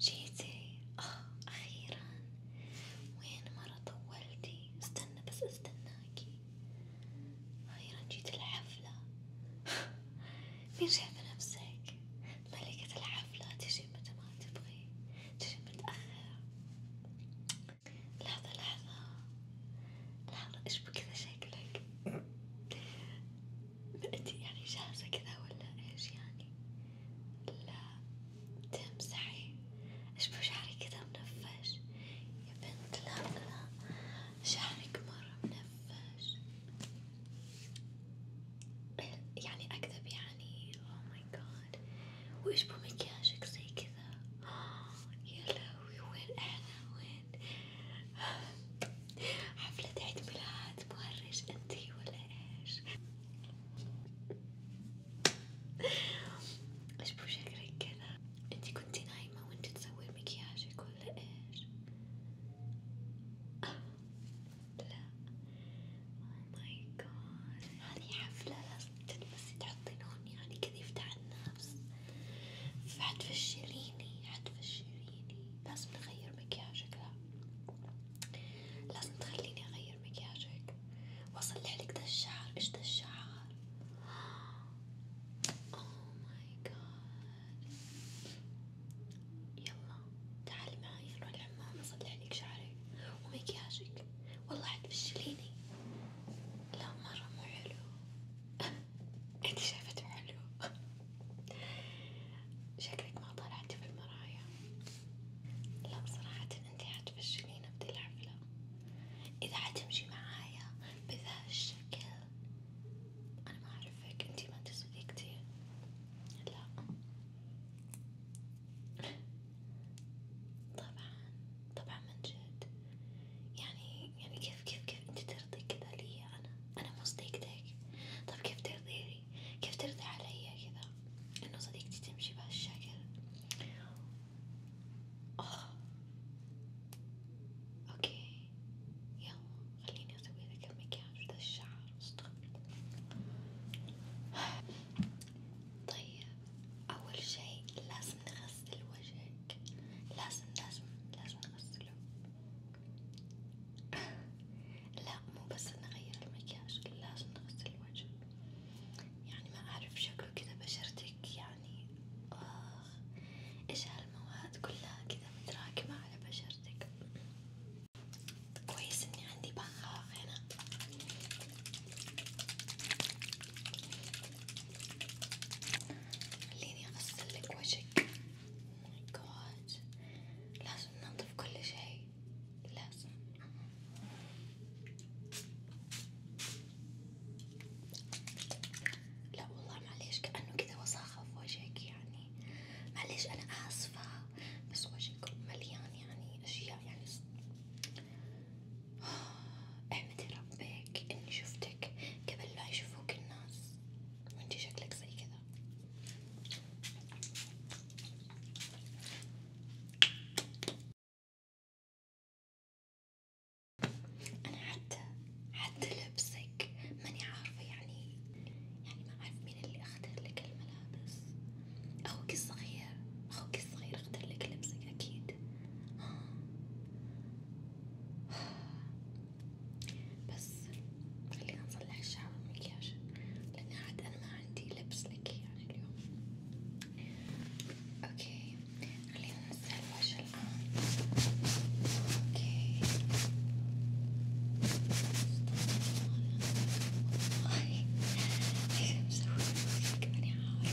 جيتي اه اخيرا وين مرة طولتي استنى بس استناكي اخيرا جيت الحفلة مين شايفة نفسك ملكة الحفلة تجي متى ما تبغي تجي متأخر لحظة لحظة لحظة إيش بكذا شكلك؟ أنتي يعني جاهزة كذا ولا إيش يعني؟ لا تمسحي إيش بشعري كذا منفش يا بنت لا لا شعرك مرة منفش يعني أكذب يعني أوه ماي جاد وإيش بمكياجك زي كذا كذا يا لهوي وين احنا وين حفلة عيد ميلاد مهرج انتي ولا ايش؟ اشبه شكلك كذا انتي كنتي نايمة وانتي تسوي مكياجك ولا ايش؟ لا اوه ماي جاد هذي حفلة لازم تلبسي تحطي لون يعني كذا يفتح الناس الشمس فحتفشليني حتفشليني لازم نغير مكياجك لا لازم تخليني اغير مكياجك واصلح لك ده الشعر ايش ده الشعر اوه ماي جاد يلا تعالي معي نروح الحمام اصلح لك شعرك ومكياجك والله حتفشليني لا مرة مو حلو انتي شايفته حلو شكلك ما طلعتي في المرايا لا بصراحة انتي حتفشلينا بدي الحفلة اذا حتمشي معايا بذا الشكل انا ما اعرفك انتي ما تسوقي كتير لا طبعا طبعا من جد يعني يعني كيف كيف كيف انت ترضي كذا لي انا انا مو صديقتك طب كيف ترضيني كيف ترضي علي كذا انه صديقتي تمشي بهالشكل اه اوكي يلا خليني اسوي لك مكياج وذا الشعر طيب اول شي لازم نغسل الوجه عليك لازم لازم لازم نغسله لا مو بس نغير المكياج لازم نغسل الوجه يعني ما أعرف شكله كذا بشرتك يعني آه إيش هالمواد كلها كذا متراكمة على بشرتك كويس إني عندي بخاخ هنا خليني أغسلك وجهك ماي oh جاد لازم ننظف كل شي لازم لا والله معليش كأنه كذا وساخة في وجهك يعني معليش أنا آسفة بس وجهك مليان يعني أشياء يعني احمدي ربك بك اني شفتك قبل لا يشوفوك الناس وانتي شكلك زي كذا انا حتى حتى لبسك ماني عارفة يعني يعني ما اعرف مين اللي اختار لك الملابس اخوك الصغير اخوك الصغير اختار لك لبسك اكيد بس خلينا نصلح الشعر والمكياج لأني عاد أنا ما عندي لبس لك يعني اليوم اوكي خلينا ننزل الوجه الآن اوكي والله ايش مسوي فيك ماني عارفة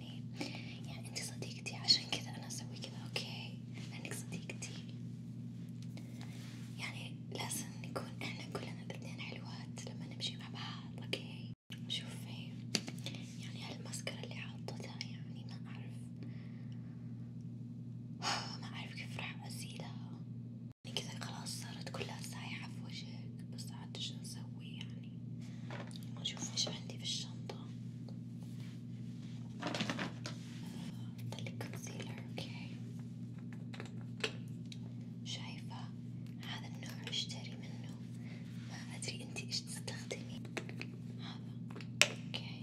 يعني يعني انت صديقتي عشان كذا انا اسوي كذا اوكي لانك صديقتي يعني لازم نكون احنا كلنا الاثنين حلوات لما نمشي مع بعض اوكي شوفي يعني هالمسكرة اللي حاطتها يعني ما اعرف ما اعرف كيف راح ازيلها يعني كذا خلاص صارت كلها سايحة في وجهك بس عاد ايش نسوي يعني يعني نشوف ايش عندي في الشنطة هذا كونسيلر اوكي شايفة هذا النوع اشتري منه ما ادري انتي ايش تستخدمي هذا اوكي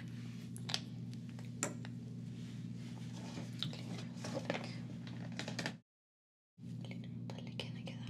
خليني احطلك خليني احطلك هنا كذا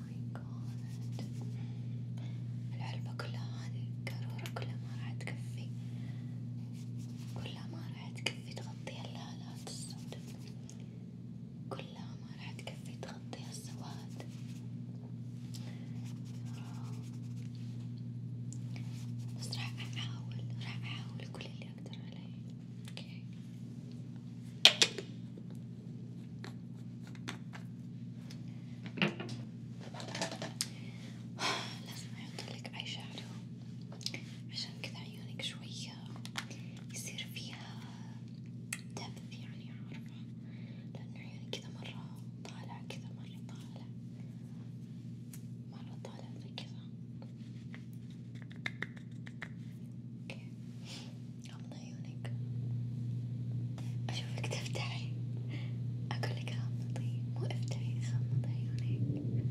ماي جاد العلبة كلها هذه القارورة كلها ما راح تكفي كلها ما راح تكفي تغطي الهالات السوداء كلها ما راح تكفي تغطي السواد بس راح أحاول راح أحاول كل اللي أقدر عليه اوكي لازم أحطلك أي شادو عشان كذا عيونك شوية يصير فيها دبث يعني عارفة لأنه عيونك كذا مرة طالع كذا مرة طالع مرة طالع زي كذا اوكي غمض عيونك أشوفك تفتحي أقولك غمضي طيب. مو افتحي غمض عيونك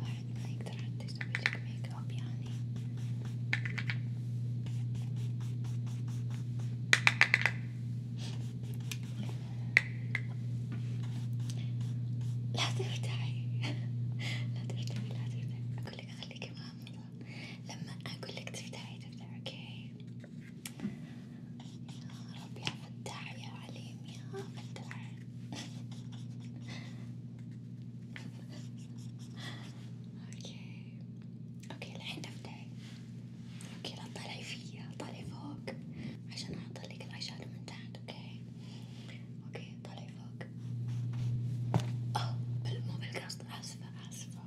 واحد ما يقدر حتى يسويلك ميك اب يعني لا ترتاحي لا ترتاحي لا ترتاحي أقولك خليكي مغمضة حلوة لما أقول لك تفتحي تفتحي أوكي يا رب يا فتاح يا عليم يا فتاح أوكي أوكي الحين افتحي أوكي لا تطلعي فيا طالعي فوق عشان أحط لك العشان من تحت أوكي أوكي طالعي فوق أوه بل مو بالقصد آسفة آسفة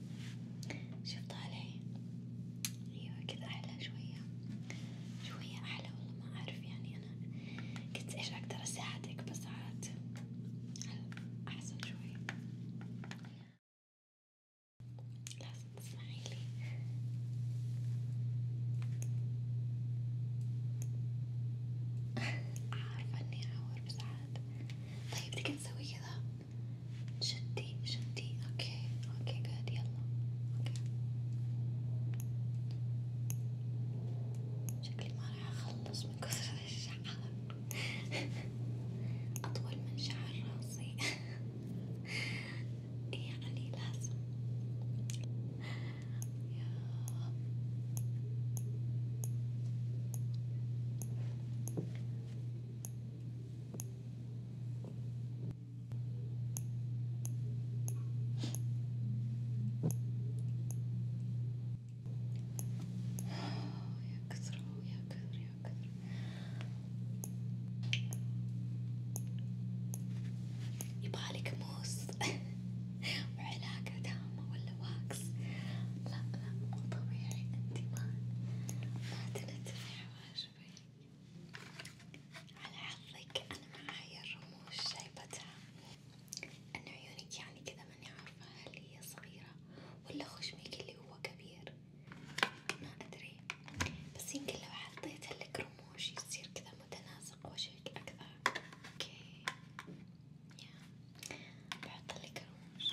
شفت علي ايوه كذا احلى شوية شوية احلى والله ما اعرف يعني انا قلت ايش اقدر اساعدك بس عاد احسن شوي لازم تسمعي لي عارفة اني اعور بس عاد طيب تقدر نسوي كذا شدي شدي اوكي اوكي جود يلا اوكي شكلي ما راح اخلص من كثر الشعر اطول من شعر راسي يعني لازم يا يا كثر يا كثر يا كثر يبغالك موس وعلاقة دامة ولا واكس لا لا مو طبيعي انتي ما ما تنتفع شوفي على حظك أنا معايا الرموش جايبتها أنا عيونك يعني كذا ماني عارفة هل هي صغيرة ولا خشمك اللي هو كبير ما أدري بس يمكن لو حطيت لك رموش يصير كذا متناسق وجهك أكثر أوكي يا بحط لك رموش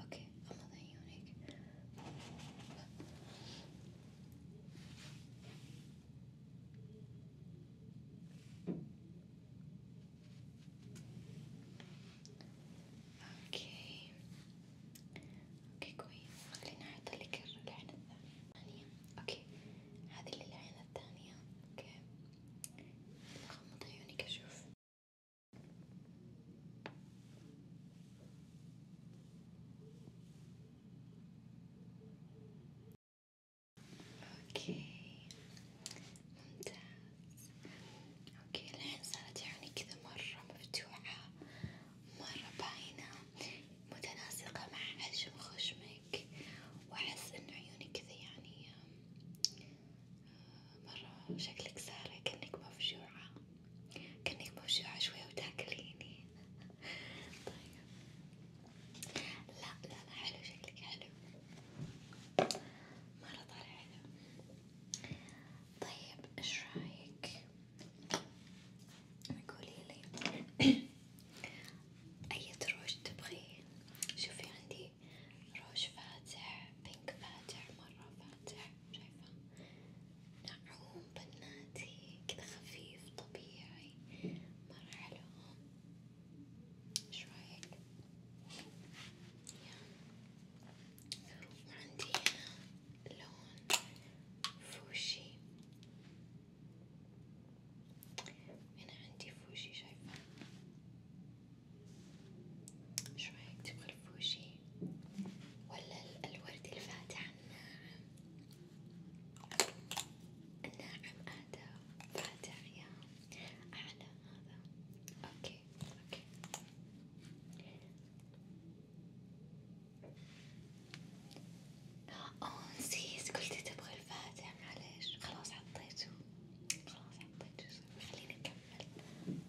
اوكي غمض عيونك اوكي اوكي كويس خليني اعطلك العين الثانية اوكي هذه للعين الثانية اوكي غمض عيونك أشوف اوكي ممتاز اوكي الحين صارت عيوني كذا مرة مفتوحة مرة باينة متناسقة مع حجم خشمك واحس انه عيونك كذا يعني مرة شكلك سارة كأنك مفجوعة كأنك مفجوعة شوية وتاكليني طيب لا لا لا حلو شكلك حلو مرة طالع حلو طيب ايش رايك قوليلي أي روج تبغي شوفي عندي روج فاتح بينك فاتح مرة فاتح شايفة ناعوم بناتي كذا خفيف طبيعي مرة حلو ايش رايك؟ وعندي هنا لون فوشي هنا عندي فوشي شايفة شو رأيك تبغى الفوشي ولا الورد الفاتح الناعم؟ الناعم هذا فاتح يا أعلى هذا أوكي أوكي أوه نسيت قلت تبغى الفاتح معليش خلاص حطيته خلاص حطيته خليني أكمل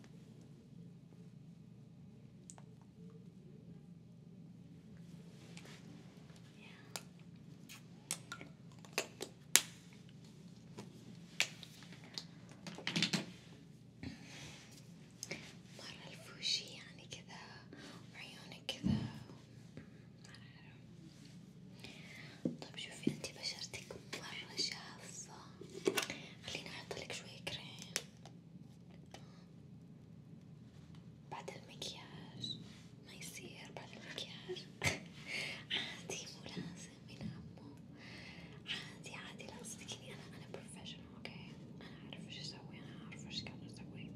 مرة الفوشي يعني كذا وعيونك كذا ما أعرف طيب شوفي انتي بشرتك مرة جافة خليني احطلك شوية كريم بعد المكياج ما يصير بعد المكياج عادي مو لازم من عمو عادي عادي لا صدقيني انا انا بروفيشنال اوكي انا اعرف ايش اسوي انا اعرف ايش قاعدة اسوي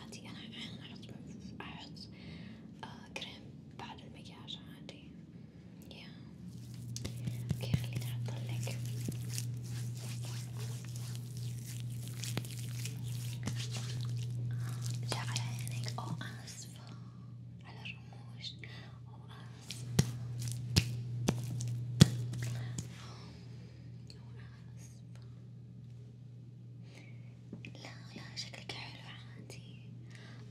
عادي انا احيانا احط احط آه كريم بعد المكياج عادي يا اوكي خليني احطلك جا على عينك او اسفة على الرموش او اسفة أو أسفة لا لا شكلك حلو عادي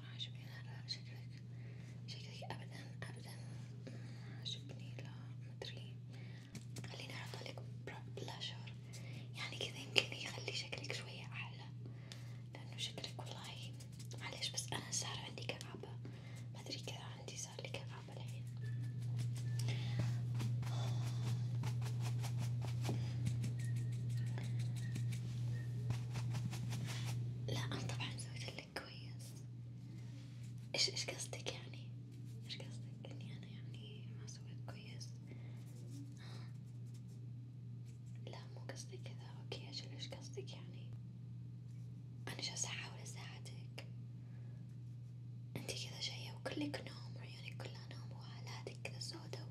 مرة عجبني هذا شكلك شكلك أبدا أبدا عجبني لا مدري خليني أحطلك بلاشر يعني كذا يمكن يخلي شكلك شوية أحلى لأنه شكلك والله معليش بس أنا صار عندي كآبة مدري كذا عندي صار لي كآبة الحين لا أنا طبعا سويت لك كويس إيش إيش قصدك يعني؟ إيش قصدك إني أنا يعني ما سويت كويس؟ لا مو قصدي كذا أوكي أجل إيش قصدك يعني؟ أنا جالسة أحاول أساعدك انتي كذا جاية وكلك نوم وعيونك كلها نوم وهالاتك كذا سودا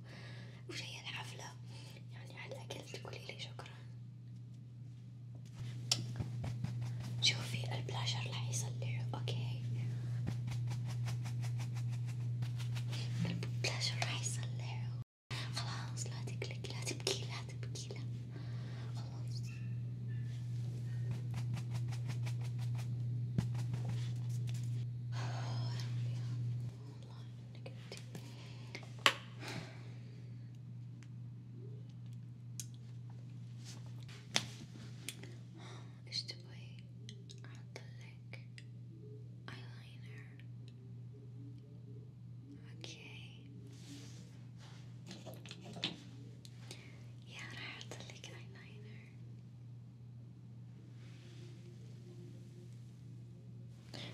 وش هي الحفلة يعني هل أكلت تقوليلي شكرا شوفي البلاشر راح يصلحه اوكي البلاشر راح يصلحه خلاص لا تقلقي لا تبكي لا تبكي لا خلاص والله آه، انك انت is to the lick eyeliner. Okay. Yeah, the lick eyeliner.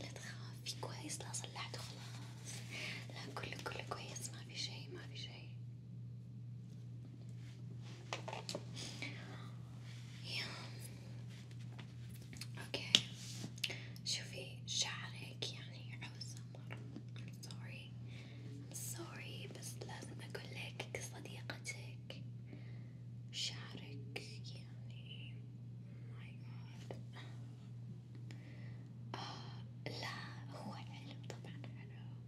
لا تخافي كويس لا صلحته خلاص لا كله كله كويس ما في شي ما في شي يا اوكي شوفي شعرك يعني عوزة مرة I'm sorry I'm sorry بس لازم اقول لك كصديقتك شعرك يعني ماي oh جاد آه لا هو حلو طبعا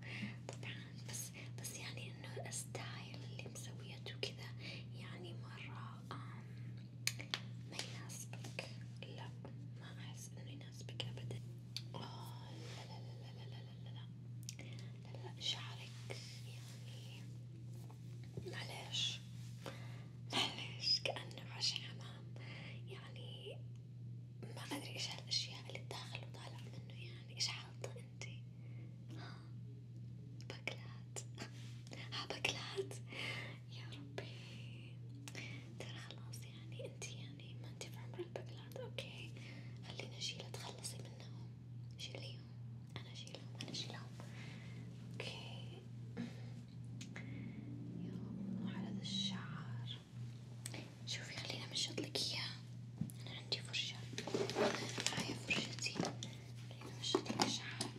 حلو طبعا بس بس يعني انه الستايل اللي مسويته كذا يعني مرة ما يناسبك لا ما احس انه يناسبك ابدا آه لا لا لا لا لا لا لا لا لا شعرك يعني معليش معلش كأنه ماشي حمام يعني ما أدري إيش هالأشياء اللي بداخل وطالع منه يعني إيش حاطة أنتي؟ ها باكلات ها باكلات يا ربي ترى خلاص يعني أنتي يعني ما أنتي بعمر الباكلات أوكي خلينا أشيلها تخلصي منهم شيليهم أنا أشيلهم أنا أشيلهم أوكي يا على هذا الشعر شوفي خلينا منشطلك اياه انا عندي فرشة معايا فرشتي خلينا منشطلك شعر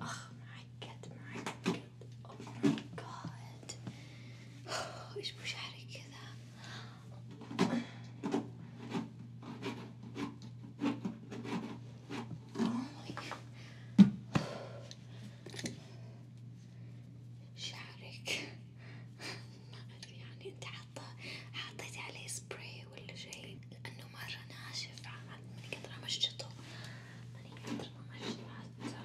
اخ معقد معقد oh اوه ماي جاد ايش بو شعرك كذا Oh my god. شعرك ما ادري يعني انت حاطة حطيتي عليه سبراي ولا شيء لانه مرة ناشف عاد من كتر ما مشطته من كتر ما مشطته حتى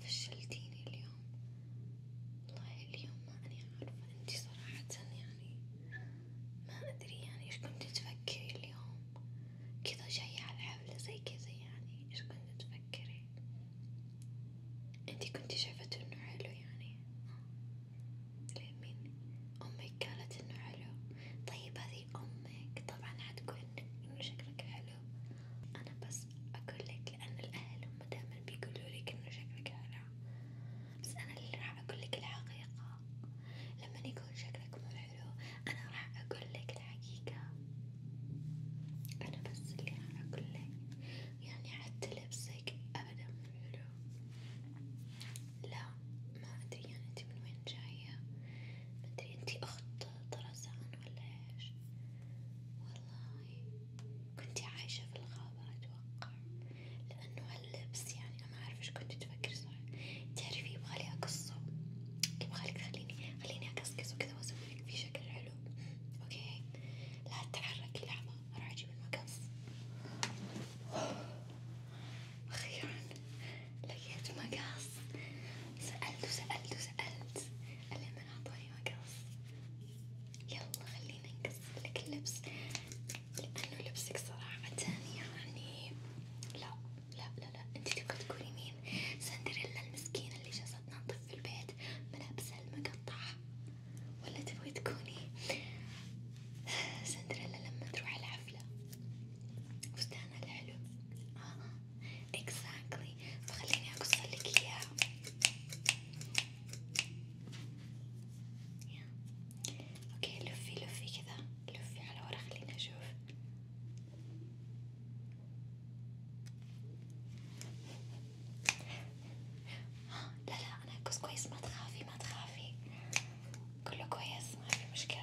فشلتيني اليوم والله اليوم ما أني عارفة انتي صراحة يعني ما أدري يعني ايش كنتي تفكري اليوم كذا جاية على الحفلة زي كذا يعني ايش كنتي تفكري انتي كنتي شايفته انه حلو يعني ليه مين أمك قالت انه حلو طيب هذه أمك طبعا حتقول انه شكلك حلو أنا بس أقولك لأن الأهل هم دايما بيقولولك إنه شكلك حلو، بس أنا اللي راح أقولك الحقيقة، لما يكون شكلك مو حلو أنا راح أقولك الحقيقة، أنا بس اللي راح أقولك، يعني حتى لبسك أبدا مو حلو، لا ما أدري يعني أنت من وين جاية، ما أدري أنت أخت طرزان ولا إيش؟ والله كنتي عايشة في الغابة أتوقع لأنه هاللبس يعني ما أعرف إيش كنت تفكر صح تعرفي يبغالي أقصه يبغالك خليني خليني أقصقصه كذا وأسويلك فيه شكل حلو أوكي لا تتحركي لحظة أروح أجيب المقص أخيرا لقيت مقص سألت وسألت وسألت اللي من أعطاني مقص يلا خلينا نقص لك اللبس لأنه لبسك صراحة يعني لا لا لا لا انت تبغى تكوني مين؟ سندريلا المسكينة اللي جالسة تنظف في البيت ملابسها المقطعة ولا تبغي تكوني سندريلا لما تروح الحفلة فستانها الحلو اه اكزاكتلي فخليني اقصلك اياه اوكي لفي لفي كذا لفي على ورا خلينا نشوف لا لا انا كويس كويس ما تخافي ما تخافي كله كويس ما في مشكلة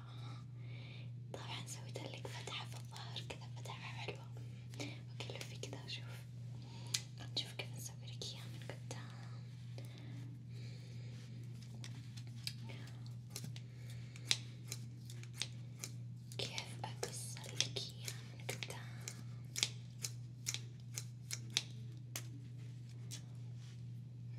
طبعا سويت لك فتحة في الظهر كذا فتحة حلوة وكلفي كذا شوف نشوف كيف نسوي لك اياها من قدام كيف أقص لك اياها من قدام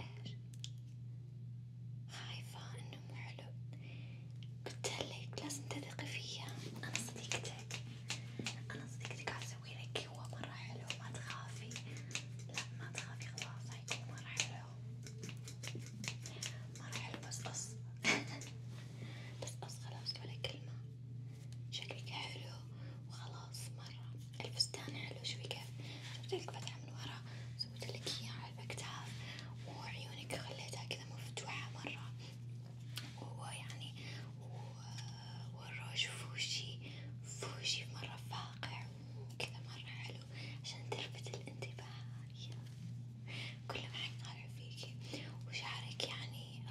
ايش خايفة انه مو حلو قلت لك لازم تثقي فيا انا صديقتك انا صديقتك عسوي لك هو مرة حلو ما تخافي لا ما تخافي خلاص هيكون مرة حلو مرة حلو بس قص بس قص خلاص ولا كلمة شكلك حلو وخلاص مرة الفستان حلو شوي كيف جبتلك فتحة من ورا سويتلك إياها على الأكتاف وعيونك خليتها كذا مفتوحة مرة وهو يعني والروج فوشي فوشي مرة فاقع وكذا مرة حلو عشان تلفت الانتباه كلهم حيطالعوا فيكي وشعرك يعني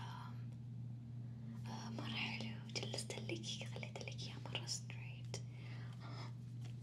آه، مرة حلو جلستلك خليتلك إياه مرة ستريت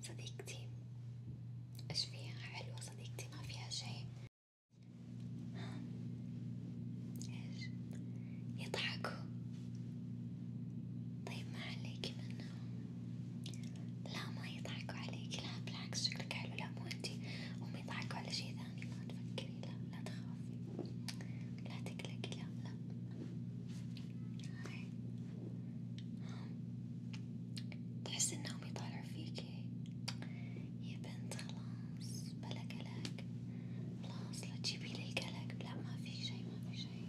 صديقتي ايش فيها حلوة صديقتي ما فيها شي ايش يضحكوا طيب ما عليكي منهم لا ما يضحكوا عليكي لا بالعكس شكلك حلو لا مو انتي هم يضحكوا على شي ثاني ما تفكري لا لا تخافي لا تقلقي لا لا تحس إن هم يطالعوا فيكي يا بنت خلاص بلا قلق خلاص لا تجيبيلي القلق لا ما في شي ما في شي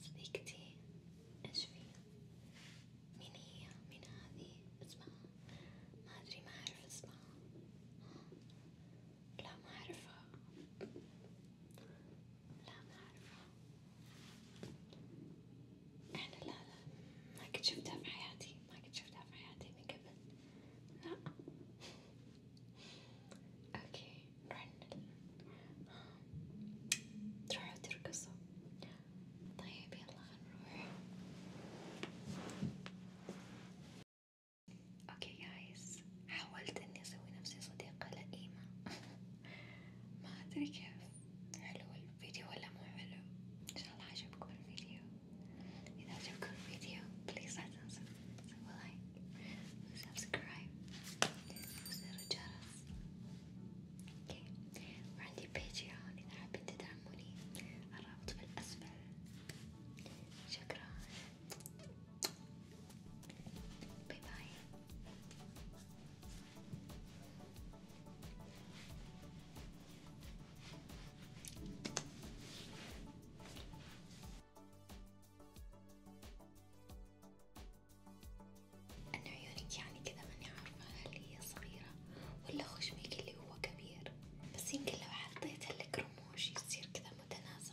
صديقتي ايش فيها؟ مين هي؟ مين هذي؟ اسمها؟ ما ادري ما اعرف اسمها لا ما أعرفها لا ما أعرفها إحنا لا لا ما قد شفتها في حياتي ما قد شفتها في حياتي من قبل لا أوكي نروح تروحوا ترقصوا طيب يلا خلينا نروح اوكي جايز حاولت اني اسوي نفسي صديقة لئيمة ما ادري كيف حلو الفيديو ولا مو حلو ان شاء الله عجبكم الفيديو اذا عجبكم الفيديو بليز لا تنسوا سووا لايك وسبسكرايب وزر الجرس اوكي وعندي باتريون اذا حابين تدعموني الرابط في الاسفل شكرا باي باي أنا عيونك يعني كذا ماني عارفة هل هي صغيرة ولا خشمك اللي هو كبير بس يمكن لو حطيت لك رموش يصير كذا متناسق